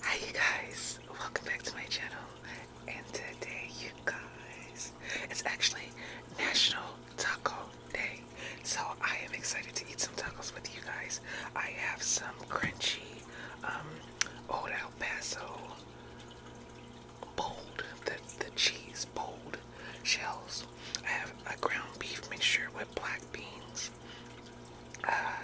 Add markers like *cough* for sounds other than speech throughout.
Hi you guys, welcome back to my channel and today you guys, it's actually National Taco Day. So I am excited to eat some tacos with you guys. I have some crunchy um, old El Paso bold, the, the cheese bold shells. I have a ground beef mixture with black beans. Uh,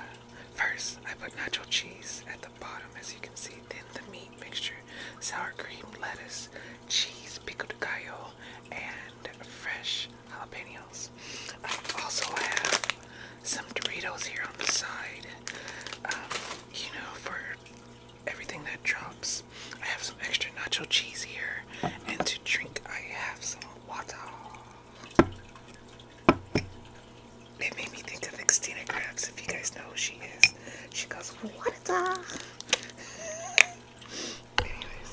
first, I put natural cheese at the bottom, as you can see. Then the meat mixture, sour cream, lettuce, cheese, pico and fresh jalapenos. I also have some Doritos here on the side. Um, you know, for everything that drops. I have some extra nacho cheese here, and to drink, I have some water. It made me think of Xtina Krabs, if you guys know who she is. She goes, water! *laughs* Anyways,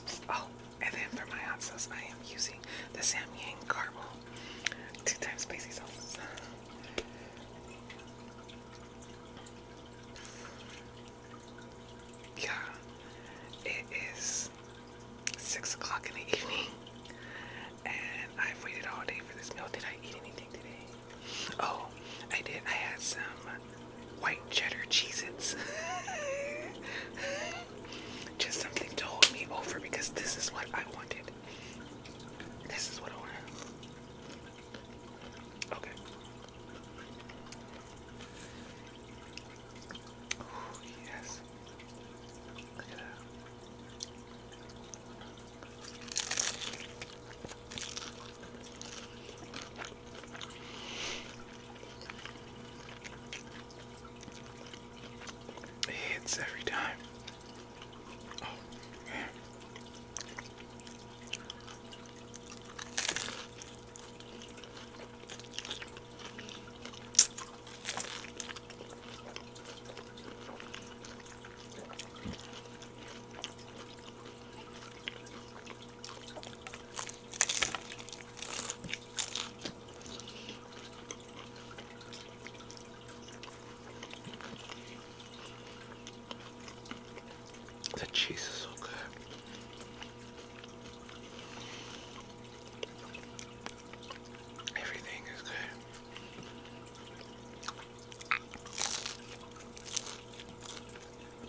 Oh, and then for my hot I am using the Samyang caramel, two times spicy sauce. Yeah, it is six o'clock in the evening, and I've waited all day for this meal. Did I eat anything today? Oh, I did. I had some white cheddar Cheez Its. *laughs* Just something to hold me over because this is what I wanted. This is what I wanted. Okay. yes. Look at that. It hits every time. Oh, the cheese is so good. Everything is good.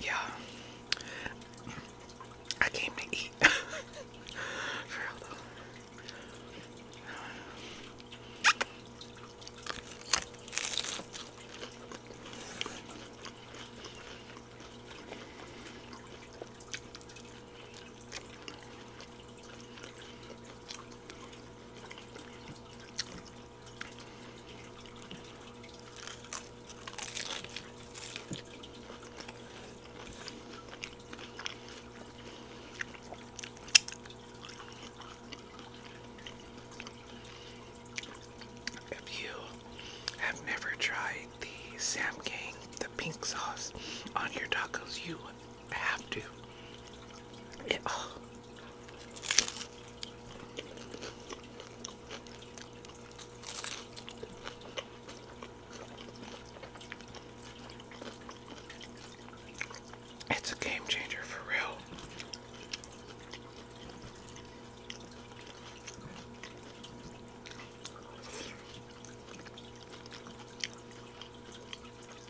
Yeah. I came to eat. *laughs* If you have never tried the Sam King, the pink sauce on your tacos, you have to. Oh, it's a game changer for real.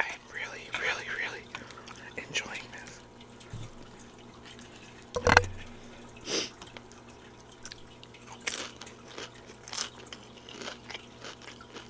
I am really, really, really enjoying this.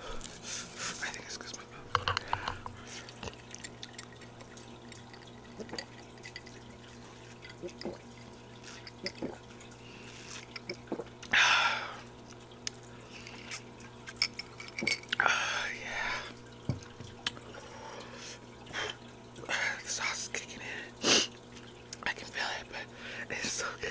I think it's because my mouth. Oh, *sighs* yeah. The sauce is kicking in. I can feel it, but it's so good.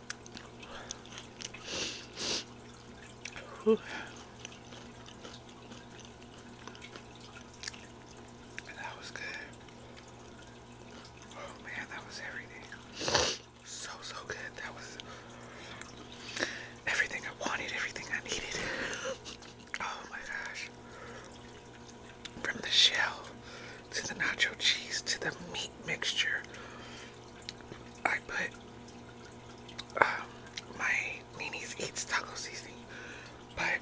That was good. Oh man, that was everything. So, so good. That was everything I wanted, everything I needed. *laughs* Oh my gosh. From the shell to the nacho cheese to the meat mixture I put um, my Nini's Eats taco seasoning, but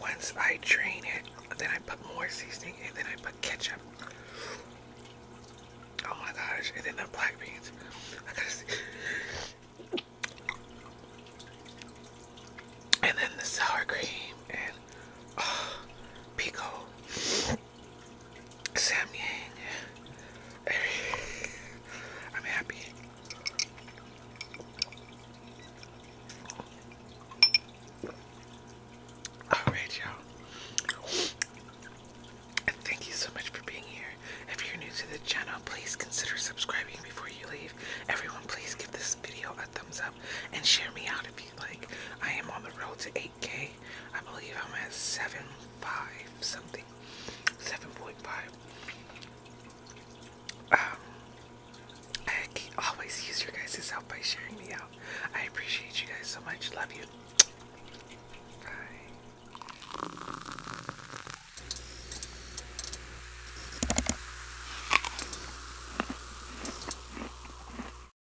once I drain it, then I put more seasoning and then I put ketchup. Oh my gosh, and then the black beans. And then the sour cream and oh, pico. Samyang. *laughs* I'm happy. Alright, y'all. thank you so much for being here. If you're new to the channel, please consider subscribing before you leave. Everyone, please give this video a thumbs up and share me out if you like. I am on the road to 8 Okay, I believe I'm at 7.5 something. 7.5. Um, I always use your guys' help by sharing me out. I appreciate you guys so much. Love you. Bye.